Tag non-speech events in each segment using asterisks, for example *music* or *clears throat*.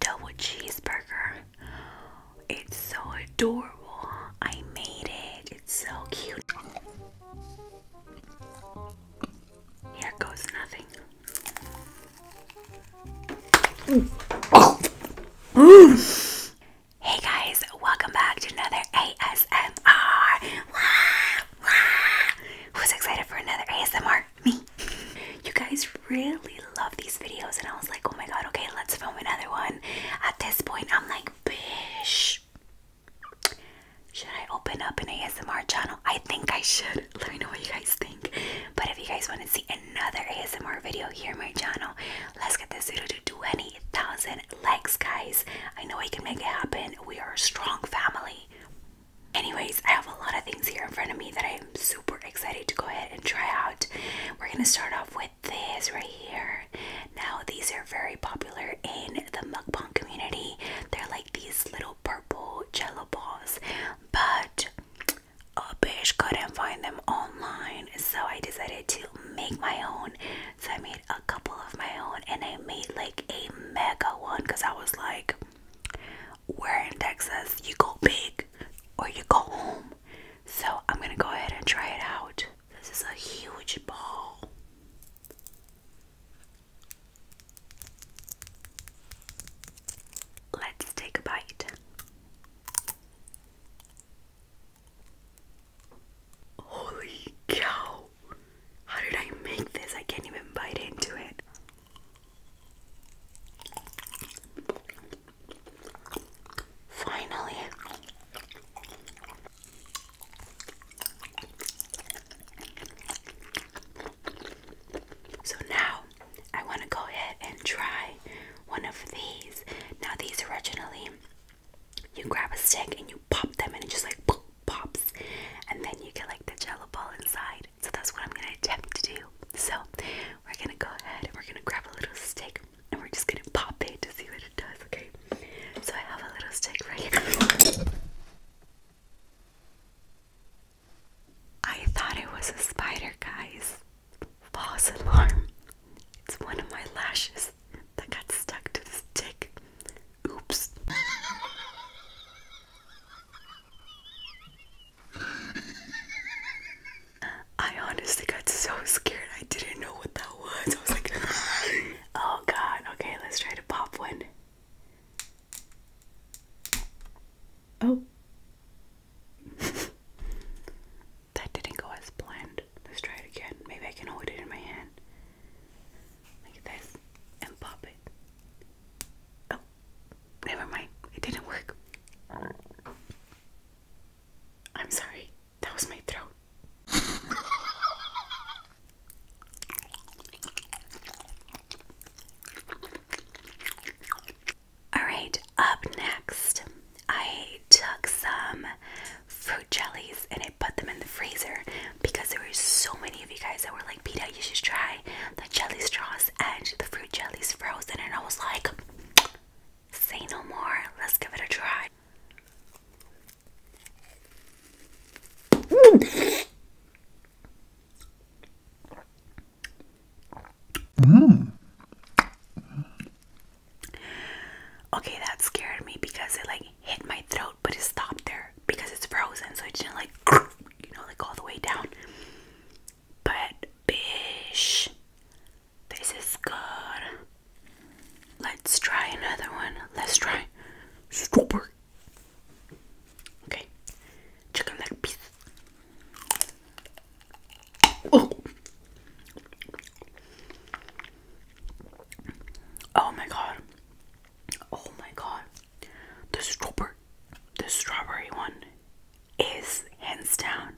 double cheeseburger. It's so adorable. I made it. It's so cute. Here goes nothing. Hey guys, welcome back to another ASMR. Who's excited for another ASMR? me. You guys really love these videos, and I was like, oh my god, okay, let's film another one. At this point, I'm like, bish. Should I open up an ASMR channel? I think I should. *laughs* Let me know what you guys think. But if you guys want to see another ASMR video here on my channel, let's get this video to 20,000 likes, guys. I know I can make it happen. We are a strong family. Anyways, I have a lot of things here in front of me that I am super super excited to go ahead and try out. We're gonna start off with this right here. Now these are very popular in the mukbang community. They're like these little purple jello balls, but a bitch couldn't find them online, so I decided to make my own. So I made a couple of my own, and I made like a mega one because I was like, we're in Texas. You go big or you go home. So I'm gonna go ahead and try it out. This is a huge ball. Let's take a bite. Holy cow! How did I make this? I can't even bite into it. Finally. So now I want to go ahead and try one of these. Now, these originally, you grab a stick and you pop them, and it just like pops, and then you get like the jello ball inside. So that's what I'm gonna attempt to do. So we're gonna go ahead and we're gonna grab a little stick and we're just gonna pop it to see what it does, okay? So I have a little stick right here. I thought it was a spider, guys. False alarm. It's one of my lashes that got stuck to the stick. Oops. *laughs* I honestly got so scared. I didn't know what that was. I was like, *laughs* oh god. Okay, let's try to pop one. Oh. *laughs* that didn't go as planned. Let's try it again. Maybe I can hold it in my hand. Like this. And pop it. Oh never mind. It didn't work. I'm sorry. That was my throat. Alright, up next, I took some fruit jellies and I put them in the freezer because there were so many of you guys that were like, Pita, you should try the jelly straws and the fruit jellies frozen, and I was like, say no more, let's give it a try. Mm. Okay, that scared me because it like hit my throat, but it stopped there because it's frozen, so it didn't like *clears throat* you know like all the way down. But bish, this is good. Let's try another one. Let's try strawberry. Okay, chicken leg piece. Oh. oh my god. Oh my god. The strawberry the strawberry one is hands down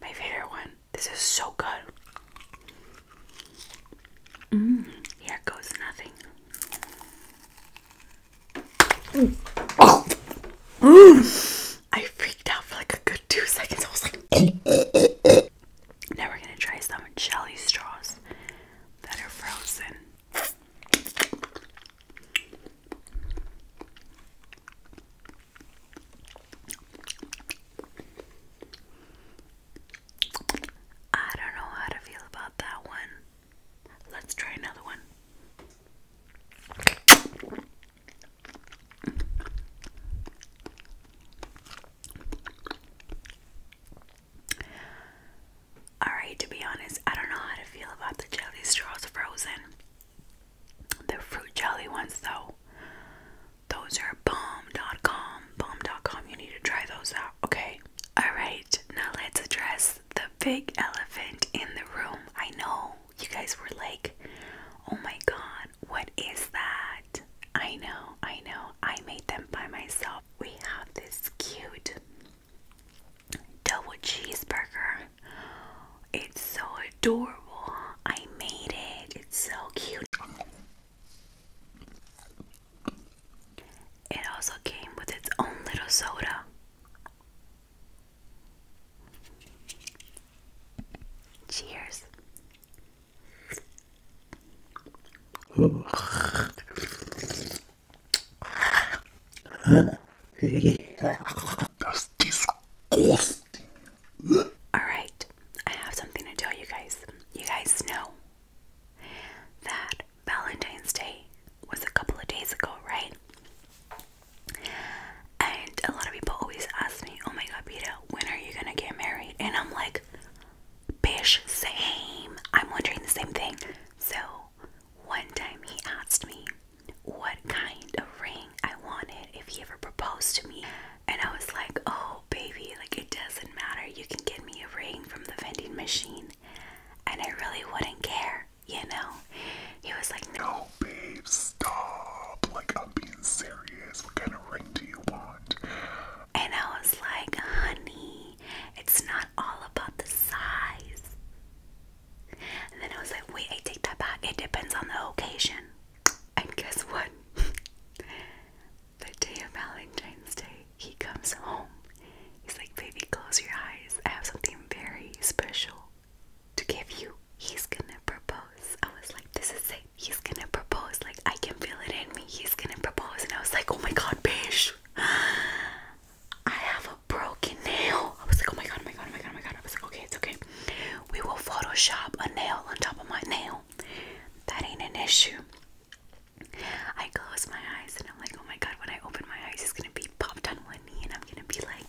my favorite one. This is so good. Mmm, here goes nothing. Mm. I freaked out for like a good two seconds. I was like, *laughs* now we're gonna try some jelly straws that are frozen. I don't know how to feel about that one. Let's try another one. Alright, to be honest, I don't know how to feel about the jelly straws frozen. The fruit jelly ones, though, those are bomb.com. Bomb.com, you need to try those out, okay? Alright, now let's address the big elephant in the room. I know you guys were like, oh my god, what is that? I know, I know, I made them by myself. We have this cute double cheeseburger. It's so adorable. I made it. It's so cute. It also came with its own little soda. Cheers. That's disgusting. Alright, I have something to tell you guys. You guys know that Valentine's Day was a couple of days ago, right? And a lot of people always ask me, oh my god, Peter, when are you gonna get married? And I'm like, bish, same. I'm wondering the same thing. So one time he asked me what kind of ring I wanted if he ever proposed to me. And I was like, oh, baby, like it doesn't matter. You can get me a ring from the vending machine. And I really wouldn't care, you know? He was like, no, babe, stop. Like, I'm being serious. What kind of ring do you want? And I was like, honey, it's not all about the size. And then I was like, wait, I take that back. It depends on the occasion. And guess what? *laughs* the day of Valentine's Day, he comes home. He's like, baby, close your eyes. I have something very special to give you. He's gonna propose. I was like, this is it. He's gonna propose. Like, I can feel it in me. He's gonna propose. And I was like, oh my god, bitch. *gasps* I have broken nail. I was like, oh my god, oh my god, oh my god, oh my god. I was like, okay, it's okay. We will Photoshop a nail on top of my nail. That ain't an issue. I close my eyes and I'm like, oh my god, when I open my eyes, it's gonna be popped on one knee and I'm gonna be like,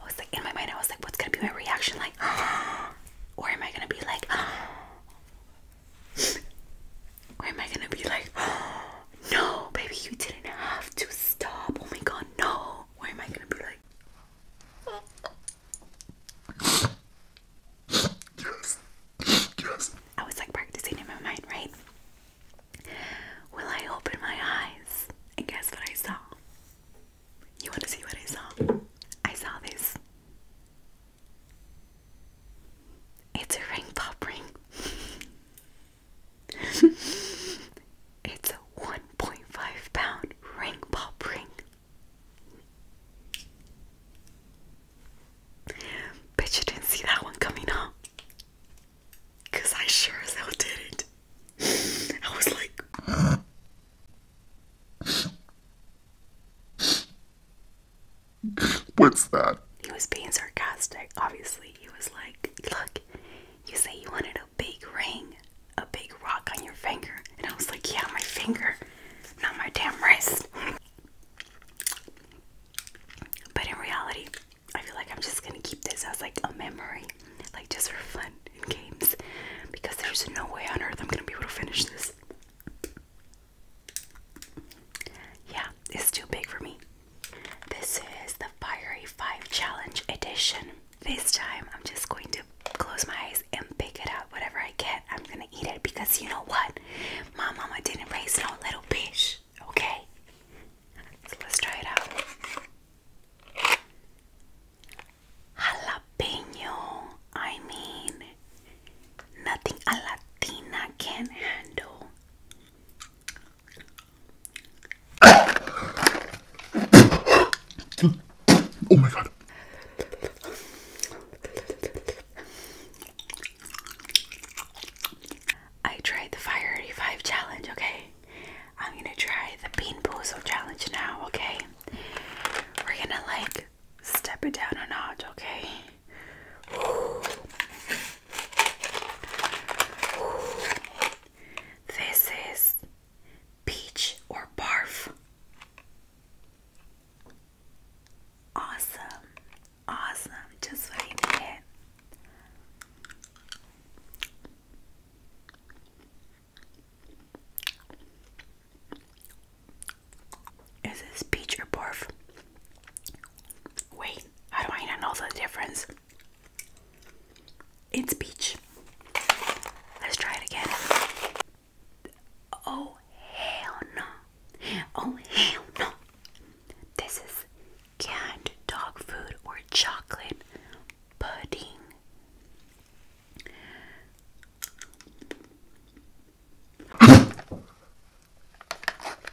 I was like, in my mind, I was like, what's gonna be my reaction? Like, *gasps* or am I gonna be like, *gasps* Or am I gonna be like, oh, *gasps* no, baby, you didn't have to stop. Oh my god, no. Or am I gonna be like, yes, yes. I was like practicing in my mind, right? Will I open my eyes? And guess what I saw? You wanna see what I saw? I saw this. It's a ring ring. *laughs* *laughs* it's a 1.5 pound ring pop ring. Bet you didn't see that one coming, huh? I sure as hell didn't. *laughs* I was like *laughs* What's that? He was being sarcastic, obviously. He was like, Look, you say you wanted a big ring, a big rock on your finger. And I was like, Yeah, my finger, not my damn wrist. But in reality, I feel like I'm just gonna keep this as like a memory, like just for fun and games, because there's no way on earth I'm gonna be able to finish this. Yeah, it's too big for me. This is the Fiery 5 Challenge Edition. This time I'm just going to close my eyes and pick it up. Whatever I get, I'm gonna eat it because you know what? My mama didn't raise no little bitch, okay? So let's try it out. Jalapeno, I mean, nothing a Latina can handle oh my god. I tried the Fire 85 challenge, okay? I'm gonna try the Bean Boozle challenge now, okay? We're gonna like step it down a notch, okay? this is peach or barf. Awesome, awesome, just what I needed. Is this peach or barf? Wait, how do I not know the difference? It's peach. Let's try it again. Oh hell no. Oh hell no. This is canned dog food or chocolate pudding.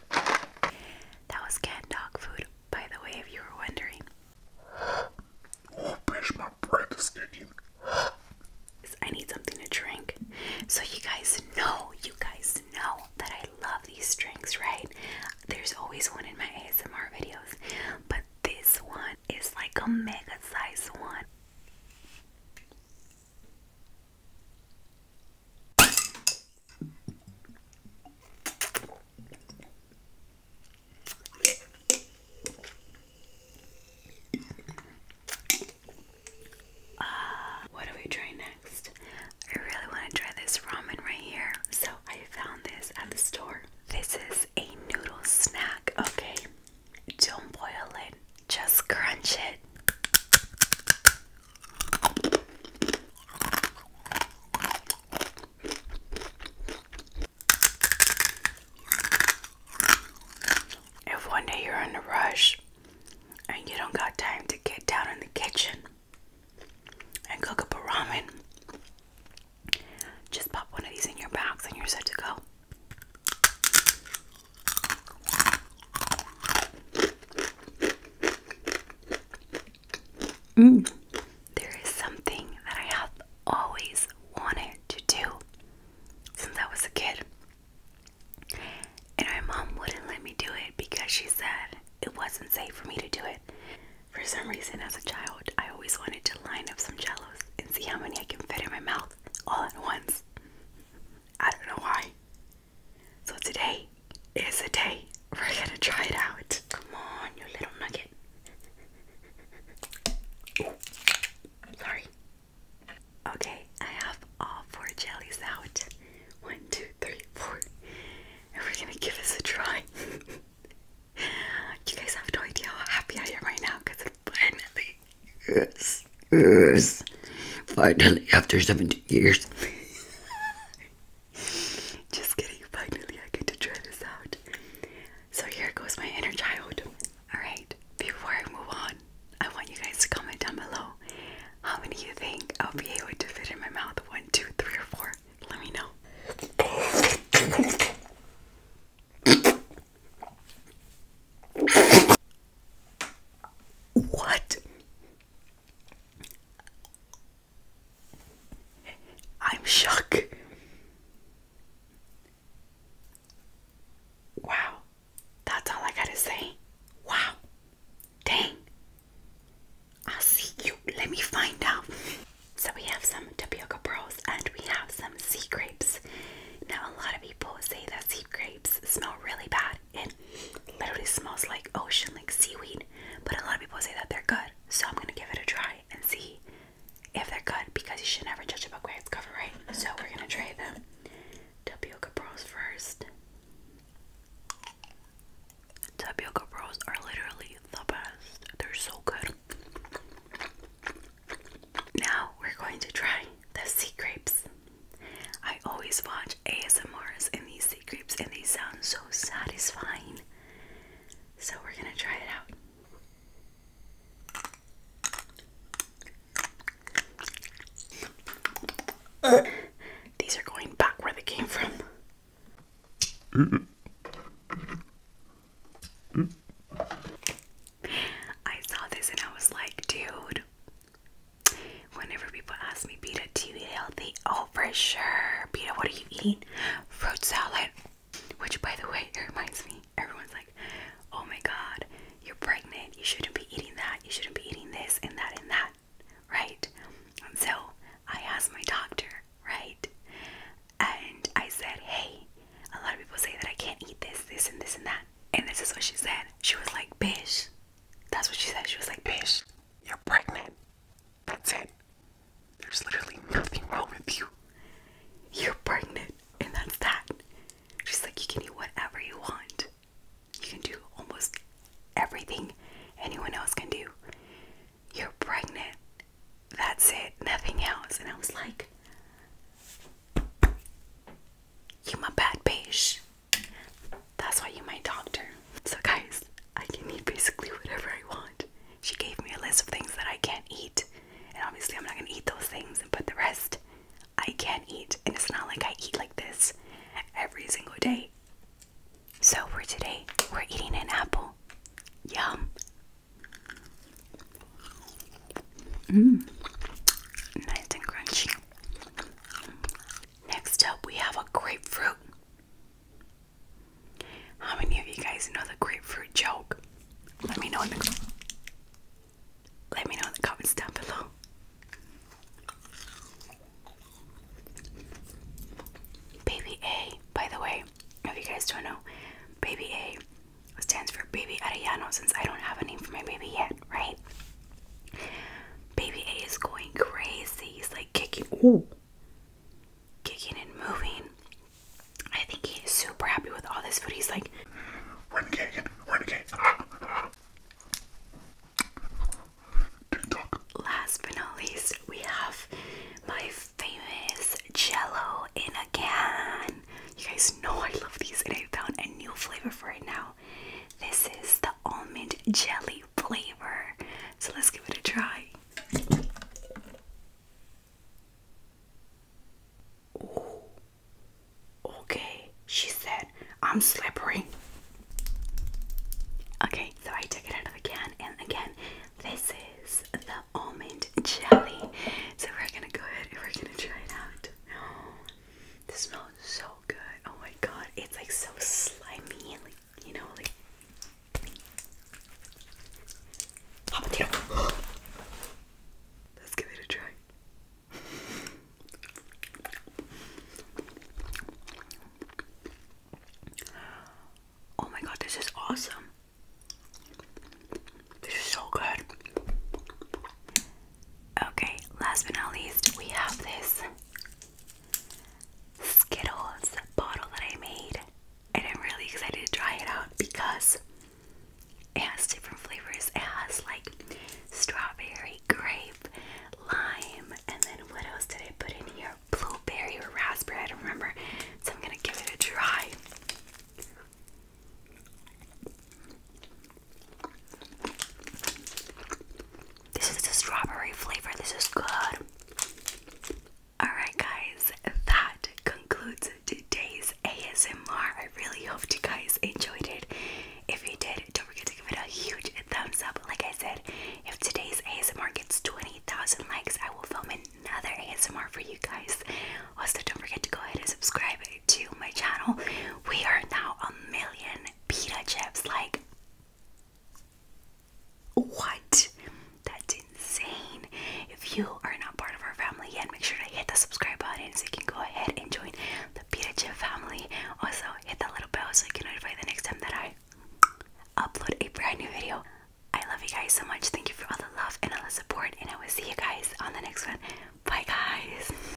That was cat dog food, by the way, if you were wondering. Oh, bitch, my breath I need something to drink. So, you guys know, you guys know that I love these drinks, right? There's always one in my ASMR videos, but this one is like a mega size one. Uh, what do we try next? I really want to try this ramen right here. So I found this at the store. This is a noodle snack. Okay, don't boil it, just crunch it. If one day you're in a rush and you don't got time to get down in the kitchen and cook up a ramen, just pop one of these in your box and you're set to go. Mm. There is something that I have always wanted to do since I was a kid. And my mom wouldn't let me do it because she said it wasn't safe for me to do it. For some reason, as a child, I always wanted to line up some jellos and see how many I can fit in my mouth all at once. I don't know why. So today is the day we're gonna try it out. Come on, you little nugget. sorry. Okay, I have all four jellies out. One, two, three, four. And we're gonna give this a try. *laughs* you guys have no idea how happy I am right now because it finally yes, Finally, after 17 years. *laughs* Just kidding, finally I get to try this out. So here goes my inner child. Alright, before I move on, I want you guys to comment down below how many you think I'll be able to fit in my mouth. One, two, three, or four. Let me know. what? I'm shocked! Wow. That's all I gotta say. Wow. Dang. i see you. Let me find out. So we have some tapioca pearls and we have some sea grapes. Now a lot of people say that sea grapes smell really bad it literally smells like ocean, like seaweed. But a lot of people say that they're good, so I'm gonna give it a try and see if they're good because you should never judge a book by its cover, right? So we're gonna try them. Tapioca pearls first. Tapioca pearls are literally the best. They're so good. Now we're going to try the sea grapes. I always watch ASMRs and these sea creeps, and they sound so satisfying. So, we're gonna try it out. These are going back where they came from. I saw this and I was like, dude, Whenever people ask me, Beta, do you eat healthy? Oh, for sure. Beta, what are you eating? Fruit salad. Which, by the way, it reminds me. Everyone's like, oh my god, you're pregnant. You shouldn't be eating that. You shouldn't be eating this and that and that. Right? And so I asked my doctor, right? And I said, hey, a lot of people say that I can't eat this, this, and this, and that. And this is what she said. She was like, bitch, that's what she said. She was like, bitch, you're pregnant. That's it. There's literally nothing wrong with you. You're pregnant, and that's that. She's like, you can eat whatever you want. You can do almost everything anyone else can do. You're pregnant. That's it. Nothing else. And I was like, you are my bad bitch. That's why you my doctor. So guys, I can eat basically whatever I want. She gave me a list of things that I can't eat. And obviously I'm not gonna eat those things And but the rest I can eat. And it's not like I eat like this every single day. So for today, we're eating an apple. Yum. Mmm. Nice and crunchy. Next up, we have a grapefruit. How many of you guys know the grapefruit joke? Let me know in the let me know in the comments down below. Baby A, by the way, if you guys don't know, Baby A stands for Baby Arellano since I don't have a name for my baby yet, right? Baby A is going crazy. He's like kicking, ooh, kicking and moving. I think he's super happy with all this food. He's like, renegade, renegade. Last but not least, we have my famous Jello in a can. You guys know I love these, and I found a new flavor for it now. This is the almond jelly flavor. So let's give it a try. okay, she said, I'm slippery. Okay, so I took it out of the can, and again, this is the almond jelly. So we're gonna go ahead and we're gonna try it out. This smells so good. Oh my god, it's like so slimy and like you know like habanero. *gasps* Let's give it a try. Oh my god, this is awesome. This is so good. Okay, last but not least, we have this Skittles bottle that I made, and I'm really excited to try it out because it has different flavors. It has like strawberry, grape, lime, and then what else did I put in here? Blueberry or raspberry, I don't remember. So I'm gonna give it a try. This is the strawberry flavor. This is good. Alright, guys, that concludes today's ASMR. I really hope you guys enjoyed it. If you did, don't forget to give it a huge thumbs up. Like I said, if today's ASMR gets 20,000 likes, I will film another ASMR for you guys. Also, don't forget to go ahead and subscribe to my channel. We are now a million pita chips. Like, what? That's insane. If you are not part of our family yet, make sure to hit the subscribe button so you can go ahead and join the pita chip family. Also, hit that little bell so you can notify the next time that I upload a brand new video. I love you guys so much. Thank you for all the love and all the support, and I will see you guys on the next one. Bye, guys.